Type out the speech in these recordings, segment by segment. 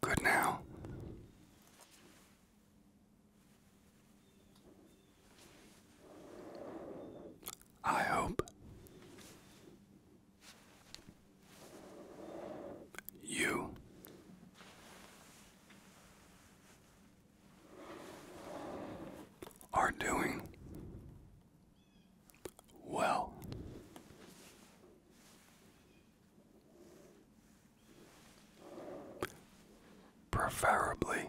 Good now. I hope you are doing well. Preferably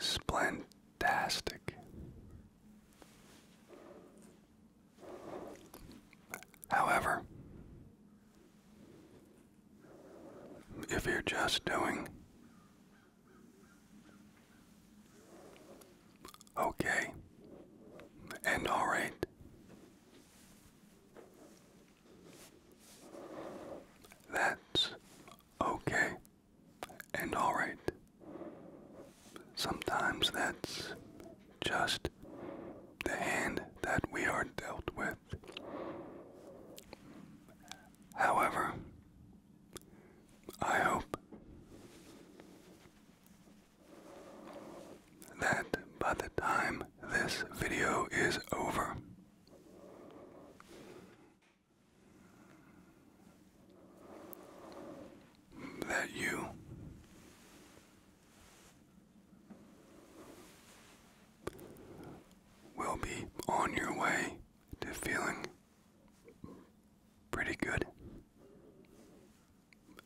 Splendidastic. However, if you're just doing okay and all right, that's okay and alright. Sometimes that's just the hand that we are dealt with. However, I hope that by the time this video is over, that you will be on your way to feeling pretty good.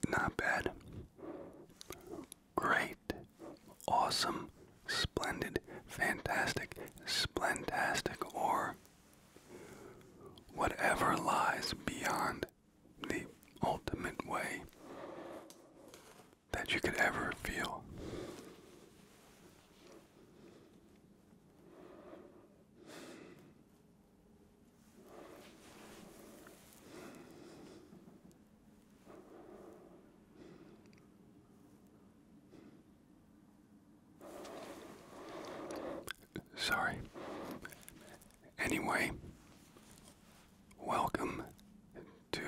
Not bad great, awesome, splendid, fantastic, splentastic, or whatever lies beyond the ultimate way that you could ever feel. Sorry. Anyway, welcome to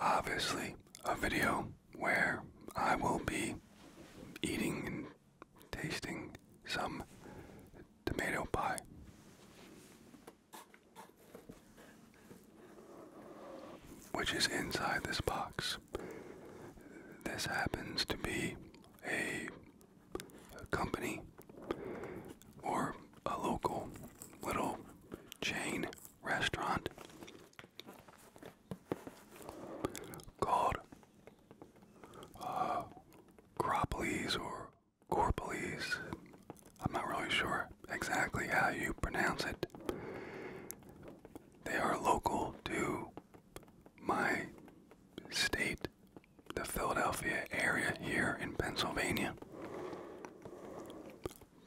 obviously a video where I will be eating and tasting some tomato pie which is inside this box. This happens to be a, company or a local little chain restaurant called uh, or or police. I'm not really sure exactly how you pronounce it. They are local to my state, the Philadelphia area here in Pennsylvania.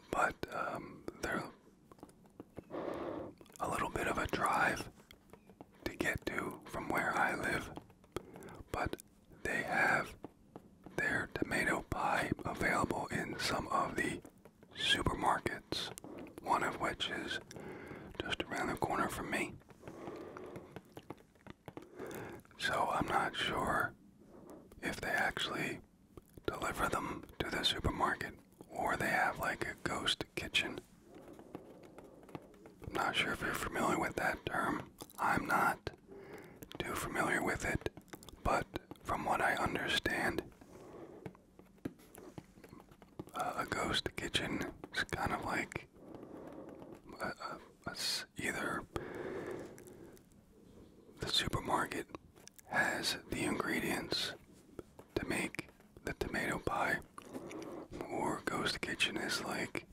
But um, they're a little bit of a drive to get to from where I live. But they have their tomato pie available in some of the supermarkets, one of which is just around the corner from me. So I'm not sure if they actually deliver them to the supermarket or they have like a ghost kitchen. I'm not sure if you're familiar with that term. I'm not too familiar with it, but from what I understand, a ghost kitchen is kind of like a, either the supermarket has the ingredients to make the tomato pie, or ghost kitchen is like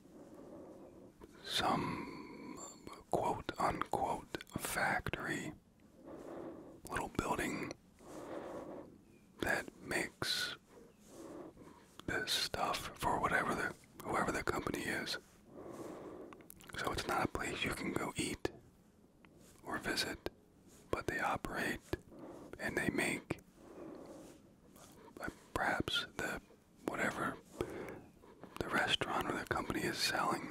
some quote unquote factory, little building that makes this stuff for whatever the whoever the company is. So it's not a place you can go eat or visit, but they operate and they make uh, perhaps the whatever the restaurant or the company is selling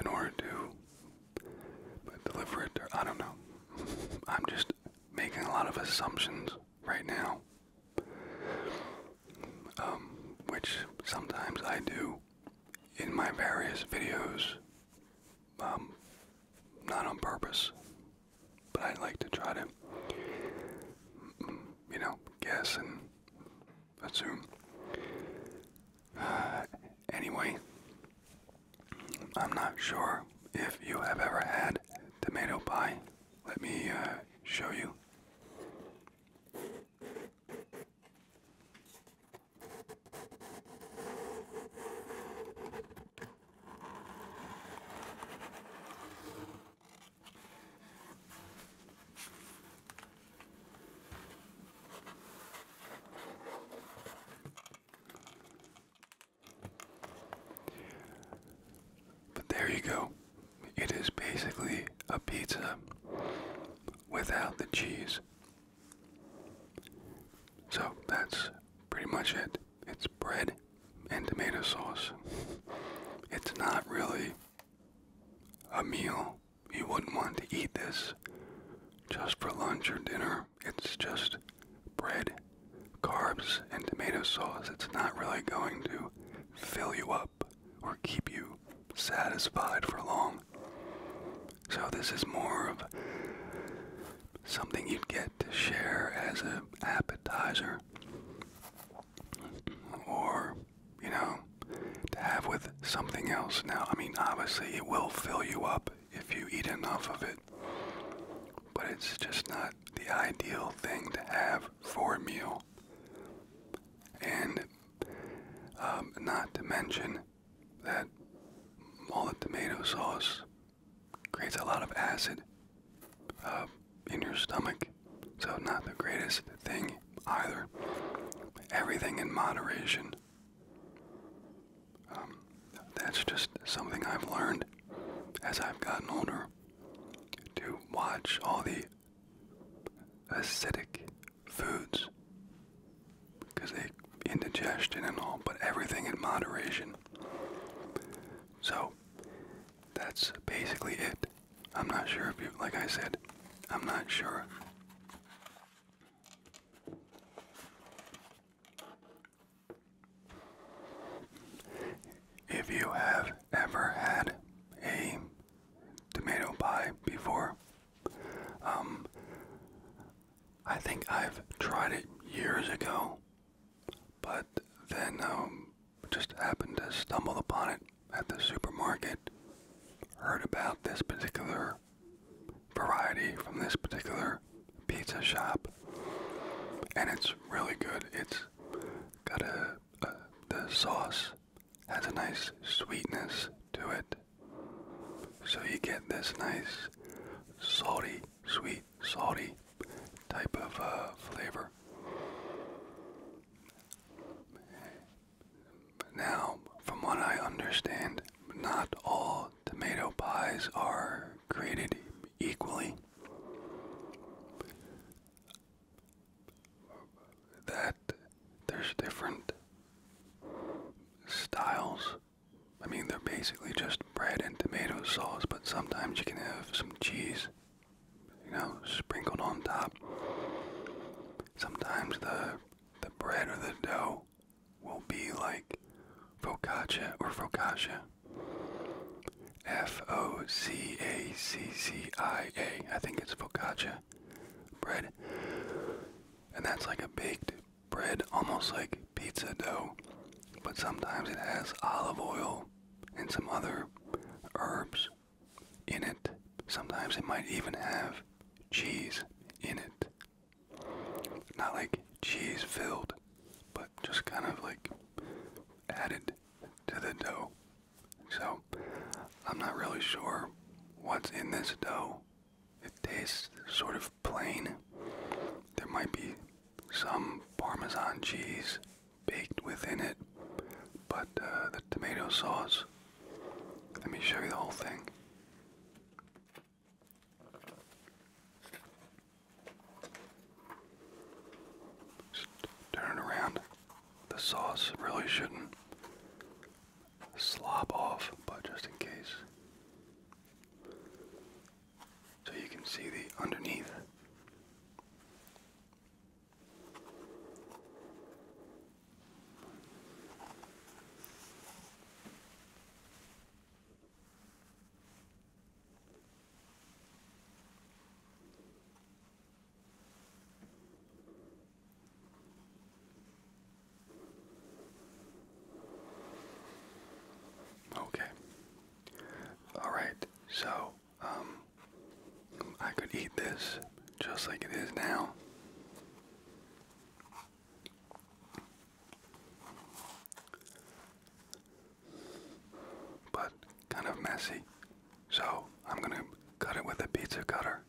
in order to deliver it. Or, I don't know. I'm just making a lot of assumptions right now, um, which sometimes I do in my various videos, um, not on purpose, but I like to try to, you know, guess and assume. Uh, anyway, I'm not sure if you have ever had tomato pie. Let me uh, show you. But there you go. It is basically a pizza without the cheese. So that's pretty much it. It's bread and tomato sauce. It's not really a meal. You wouldn't want to eat this just for lunch or dinner. It's just bread, carbs, and tomato sauce. It's not really going to fill you up or keep you satisfied for long. So this is more of something you'd get to share as an appetizer or you know to have with something else now i mean obviously it will fill you up if you eat enough of it but it's just not the ideal thing to have for a meal and um, not to mention that all the tomato sauce creates a lot of acid uh, in your stomach so, not the greatest thing either. Everything in moderation. Um, that's just something I've learned as I've gotten older to watch all the acidic foods because they indigestion and all, but everything in moderation. So, that's basically it. I'm not sure if you, like I said, I'm not sure. If you have ever had a tomato pie before, um, I think I've tried it years ago, but then I um, just happened to stumble upon it at the supermarket heard about this particular variety from this particular pizza shop, and it's really good. It's got a, the sauce has a nice sweetness to it, so you get this nice salty, sweet, salty type of uh, flavor. Now, from what I understand, not all tomato pies are created equally. That there's different styles. I mean, they're basically just bread and tomato sauce, but sometimes you can have some cheese, you know, sprinkled on top. Sometimes the the bread or the dough will be like focaccia or focaccia. F O C A C C I A. I think it's focaccia bread. And that's like a baked bread, almost like pizza dough. But sometimes it has olive oil and some other herbs in it. Sometimes it might even have cheese in it. Not like cheese filled, but just kind of like added to the dough. So I'm not really sure what's in this dough. It tastes sort of plain. There might be some Parmesan cheese baked within it, but uh, the tomato sauce let me show you the whole thing. Just turn it around. The sauce really shouldn't slop off, but just in case. So you can see the underneath. Okay. All right. So, um, I could eat this just like it is now. But kind of messy. So I'm going to cut it with a pizza cutter.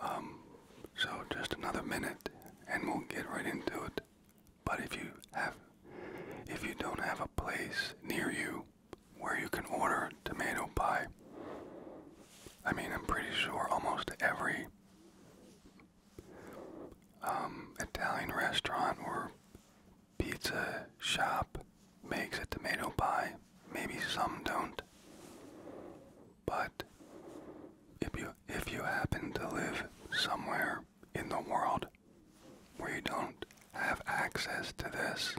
Um, so just another minute and we'll get right into it. But if you have if you don't have a place near you where you can order tomato pie, I mean, I'm pretty sure almost every um, Italian restaurant or pizza shop makes a tomato pie. Maybe some don't. But if you if you happen to live somewhere in the world where you don't have access to this,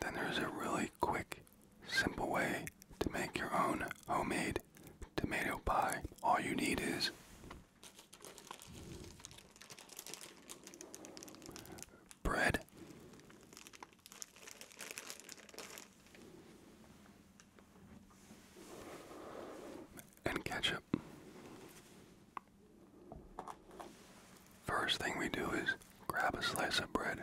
then there's a really quick, simple way to make your own homemade tomato pie. All you need is bread, and ketchup. First thing we do is grab a slice of bread.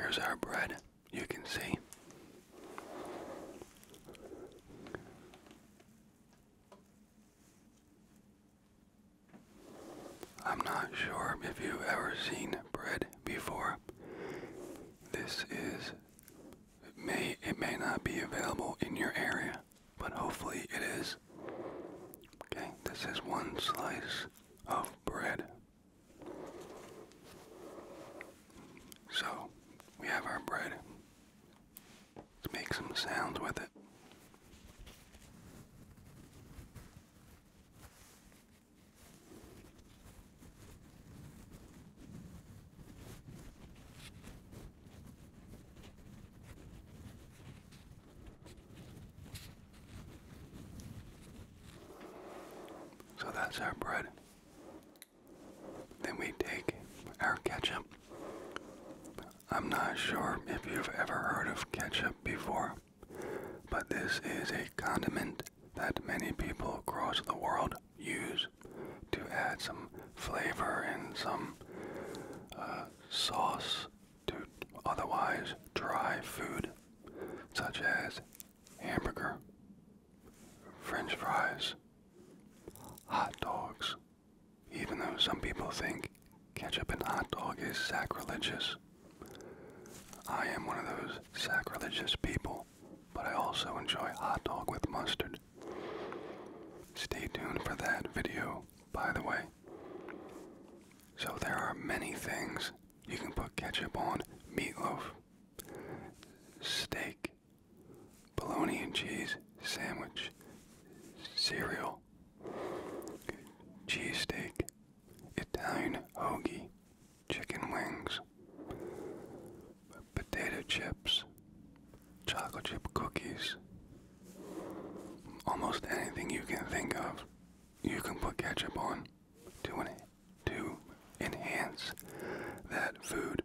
Here's our bread, you can see. I'm not sure if you've ever seen bread before. This is may it may not be available in your area, but hopefully it is. Okay, this is one slice of bread. So, we have our bread. Let's make some sounds with it. So that's our bread. Then we take our ketchup, I'm not sure if you've ever heard of ketchup before, but this is a condiment that many people across the world use to add some flavor and some uh, sauce to otherwise dry food, such as hamburger, french fries, hot dogs. Even though some people think Ketchup and hot dog is sacrilegious. I am one of those sacrilegious people, but I also enjoy hot dog with mustard. Stay tuned for that video, by the way. So there are many things you can put ketchup on. Meatloaf, steak, bologna and cheese sandwich, cereal, meal. Cheesesteak, Italian hoagie, chicken wings, potato chips, chocolate chip cookies. Almost anything you can think of, you can put ketchup on to, to enhance that food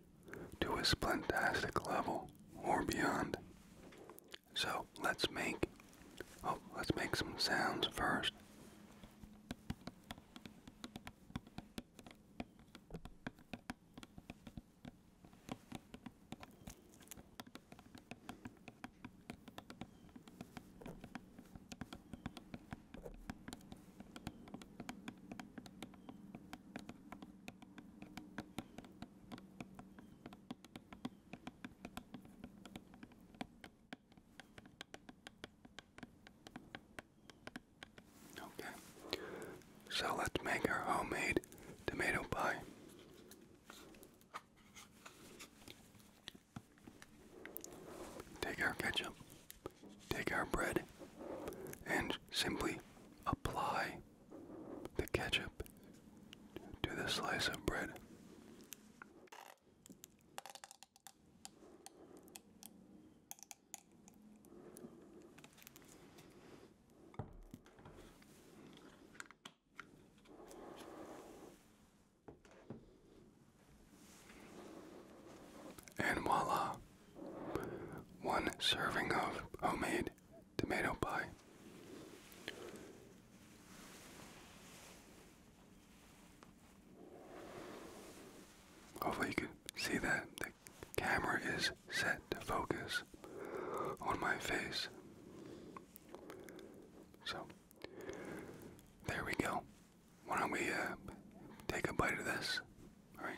to a splentastic level or beyond. So let's make oh let's make some sounds first. Okay, so let's make our homemade tomato pie. Take our ketchup, take our bread, and simply apply the ketchup to the slice of bread. And voila, one serving of homemade tomato pie. Hopefully you can see that the camera is set to focus on my face. So, there we go. Why don't we uh, take a bite of this? Alright.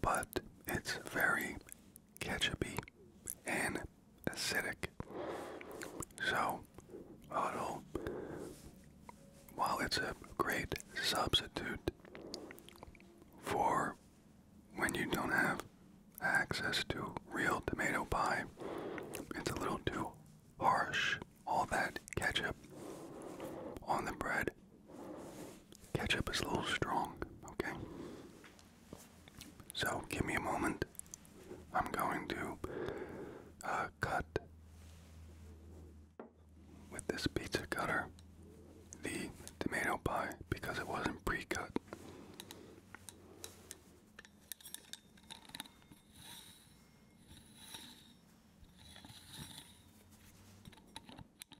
But it's very ketchupy and acidic. So, although while it's a great substitute for when you don't have access to real tomato pie, it's a little too harsh. All that ketchup on the bread. Ketchup is a little strong, okay? So give me a moment. I'm going to uh, cut with this pizza cutter the tomato pie because it wasn't pre cut.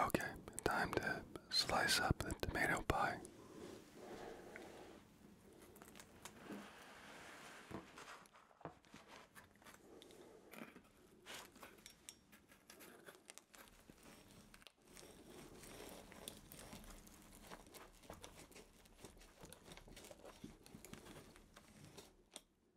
Okay, time to slice up the tomato pie.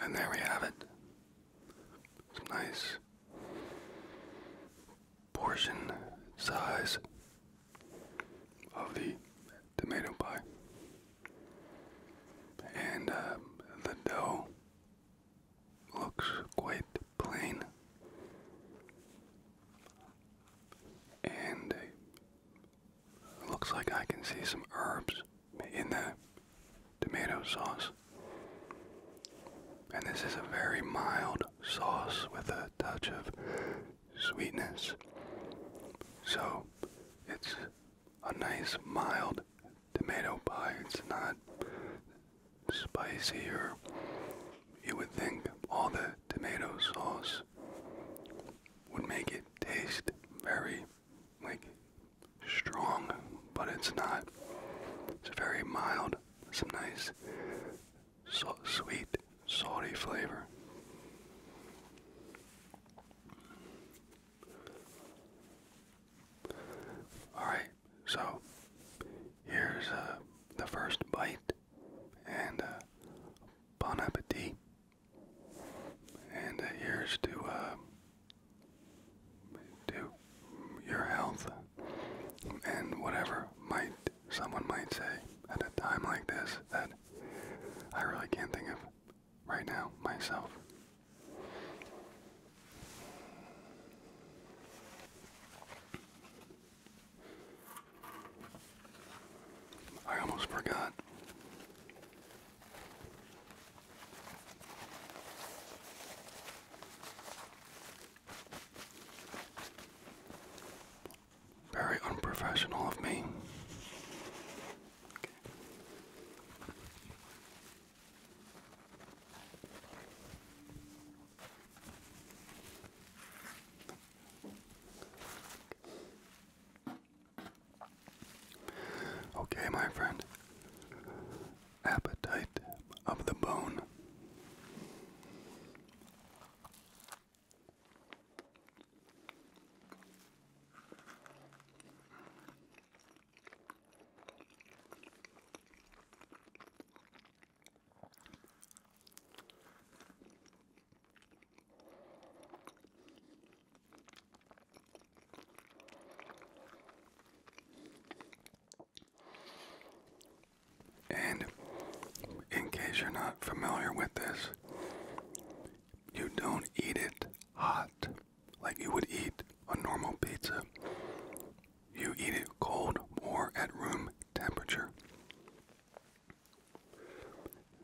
And there we have it. nice portion size of the tomato pie. And uh, the dough looks quite plain. And Looks like I can see some herbs in the tomato sauce. And this is a very mild sauce with a touch of sweetness. So it's a nice mild tomato pie. It's not spicy or you would think all the tomato sauce juice would make it taste very like strong, but it's not. It's very mild, some nice so sweet, salty flavor. Alright, so here's uh, the first bite, and uh, bon appetit. And uh, here's to uh, to your health and whatever might someone might say at a time like this that I really can't think of right now myself. I almost forgot. Very unprofessional of me. Okay, my friend. Appetite of the bone. And in case you're not familiar with this, you don't eat it hot like you would eat a normal pizza. You eat it cold or at room temperature.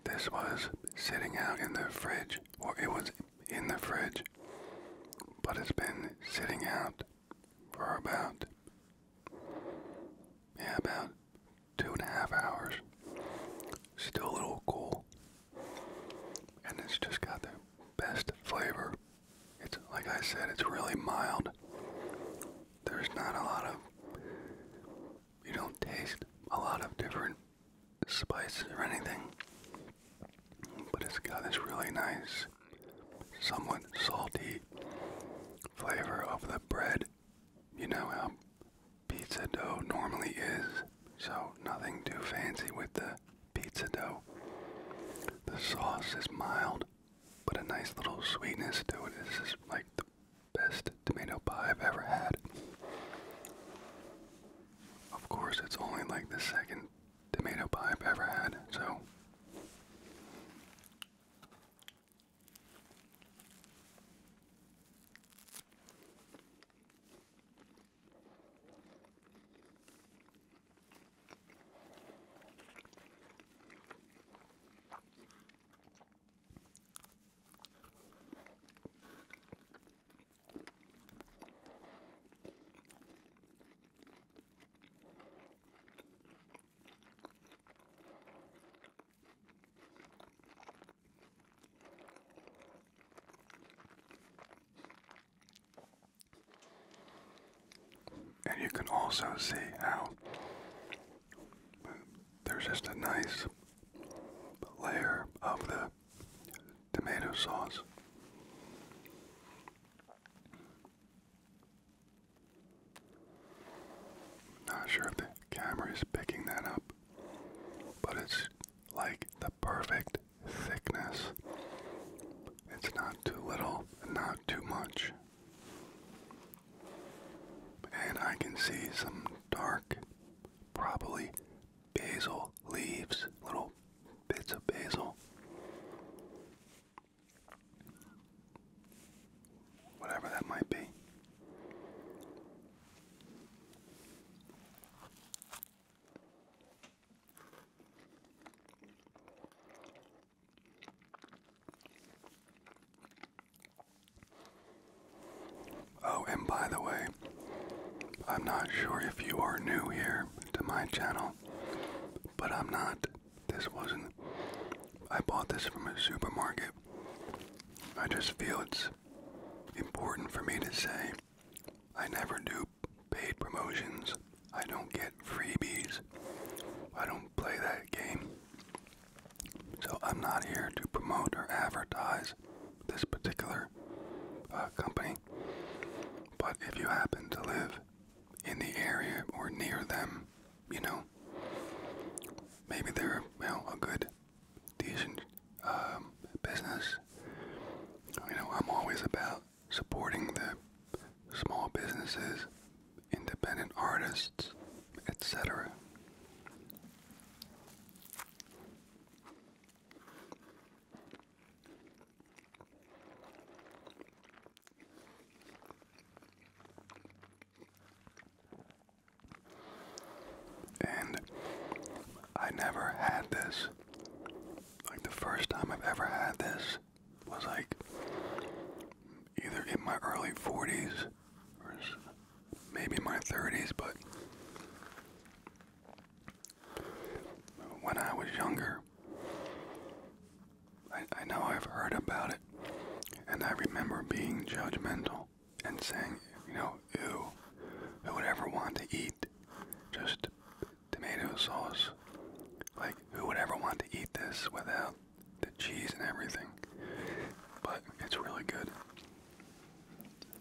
This was sitting out in the fridge, or it was in the fridge, but it's been sitting out for about, yeah, about two and a half hours. Still a little cool. And it's just got the best flavor. It's, like I said, it's really mild. There's not a lot of you don't taste a lot of different spices or anything, but it's got this really nice, somewhat salty flavor of the bread. You know how pizza dough normally is, so nothing too fancy with the pizza dough. The sauce is mild, but a nice little sweetness to it. This is like Best tomato pie I've ever had. Of course, it's only like the second tomato pie I've ever had, so. And you can also see how there's just a nice layer of the tomato sauce. Not sure if the camera is picking that up, but it's like the perfect thickness. It's not too little, not too much. And I can see some dark probably basil leaves, little bits of basil. Whatever that might be. Oh, and by the way, I'm not sure if you are new here to my channel, but I'm not. This wasn't. I bought this from a supermarket. I just feel it's important for me to say I never do paid promotions. I don't get freebies. I don't play that game. So I'm not here to promote or advertise this particular uh, company. But if you happen to live in the area or near them, you know, maybe they're you a good, decent um, business. You know, I'm always about supporting the small businesses, independent artists, etc. And I never had this. Like the first time I've ever had this was like either in my early 40s maybe my 30s, but when I was younger, I, know I've heard about it, and I remember being judgmental and saying, you know, ew, who would ever want to eat just tomato sauce? Like, who would ever want to eat this without the cheese and everything? But it's really good.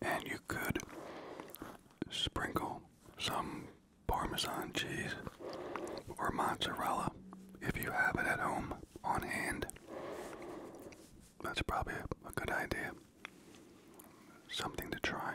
And you could sprinkle some Parmesan cheese or mozzarella if you have it at home on hand. That's probably a good idea. Something to try.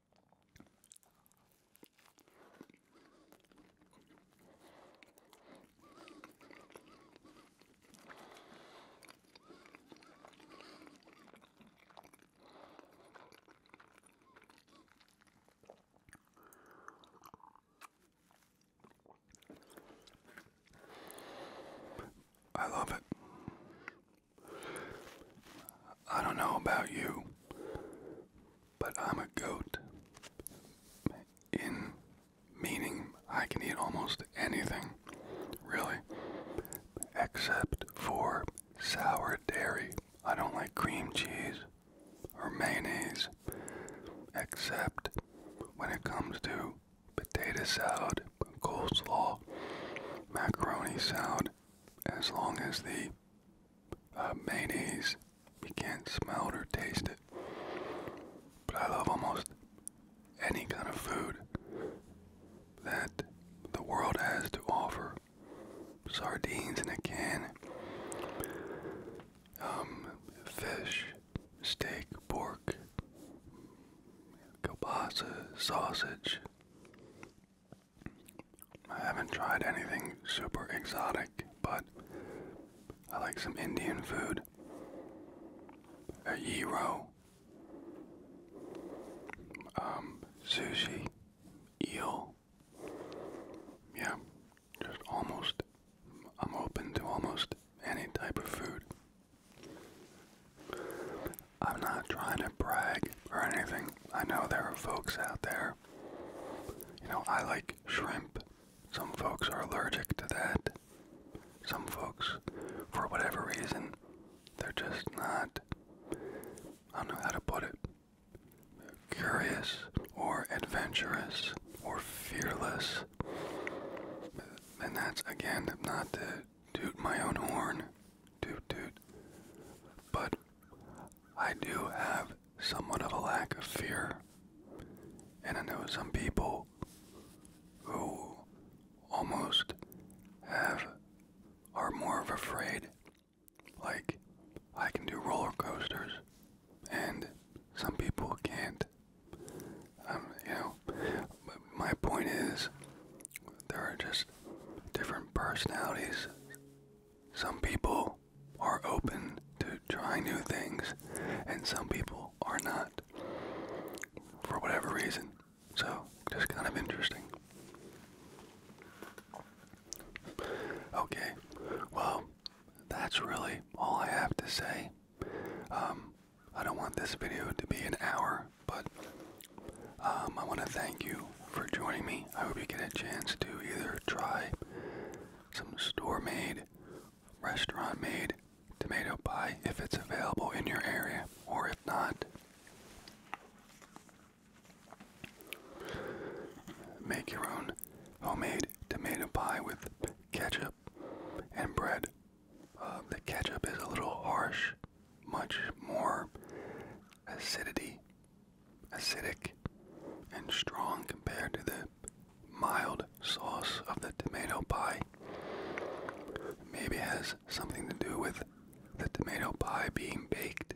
I love it. I don't know about you, but I'm a goat. In meaning, I can eat almost anything, really, except for sour dairy. I don't like cream cheese or mayonnaise, except when it comes to potato salad, coleslaw, macaroni salad, as long as the uh, mayonnaise. You can't smell or taste it. But I love almost any kind of food that the world has to offer. Sardines in a can, um, fish, steak, pork, kielbasa, sausage, I haven't tried anything super exotic, but I like some Indian food. A gyro, um, sushi, eel. Yeah, just almost. I'm open to almost any type of food. I'm not trying to brag or anything. I know there are folks out there you know, I like shrimp. Some folks are allergic to that. Some folks, for whatever reason, they're just not, I don't know how to put it, curious or adventurous or fearless. And that's, again, not to toot my own horn, toot toot, but I do have somewhat of a lack of fear. And I know some people who almost have are more of afraid. Like, I can do roller coasters, and some people can't. Um, you know, but my point is, there are just different personalities. Some people are open to try new things and some people are not for whatever reason. So, just kind of interesting. Okay, well, that's really all I have to say. Um, I don't want this video to be an hour, but um, I want to thank you for joining me. I hope you get a chance to either try some store made, restaurant made tomato pie if it's available in your area, or if not, make your own homemade tomato pie with ketchup and bread. Uh, the ketchup is a little harsh, much more acidity, acidic, and strong compared to the mild sauce of the tomato pie. Maybe has something to do with the tomato pie being baked.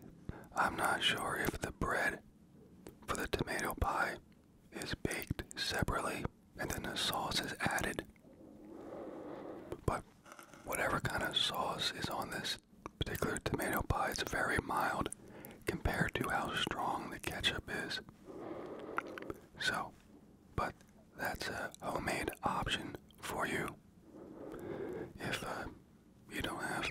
I'm not sure if the bread for the tomato pie is baked separately and then the sauce is added. But whatever kind of sauce is on this pies, tomato pie, is very mild compared to how strong the ketchup is. So, but that's a homemade option for you. If uh, you don't have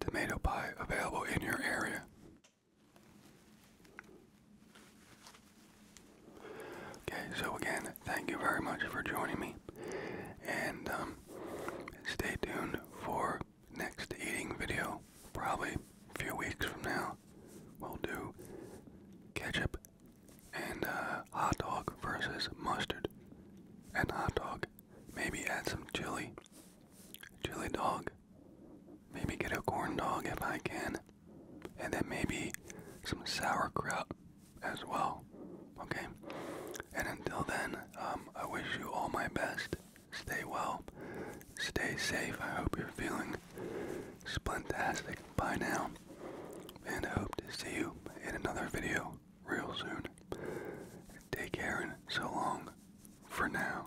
tomato pie available in your area. Okay, so again, thank you very much for joining me, and um, stay tuned for next eating video, probably a few weeks from now, we'll do ketchup and uh, hot dog versus mustard and hot dog. Maybe add some chili, chili dog. Maybe get a corn dog if I can. And then maybe some sauerkraut as well. Okay? And until then, um, I wish you all my best. Stay well. Stay safe. I hope you're feeling splintastic. Bye now. And I hope to see you in another video real soon. Take care and so long for now.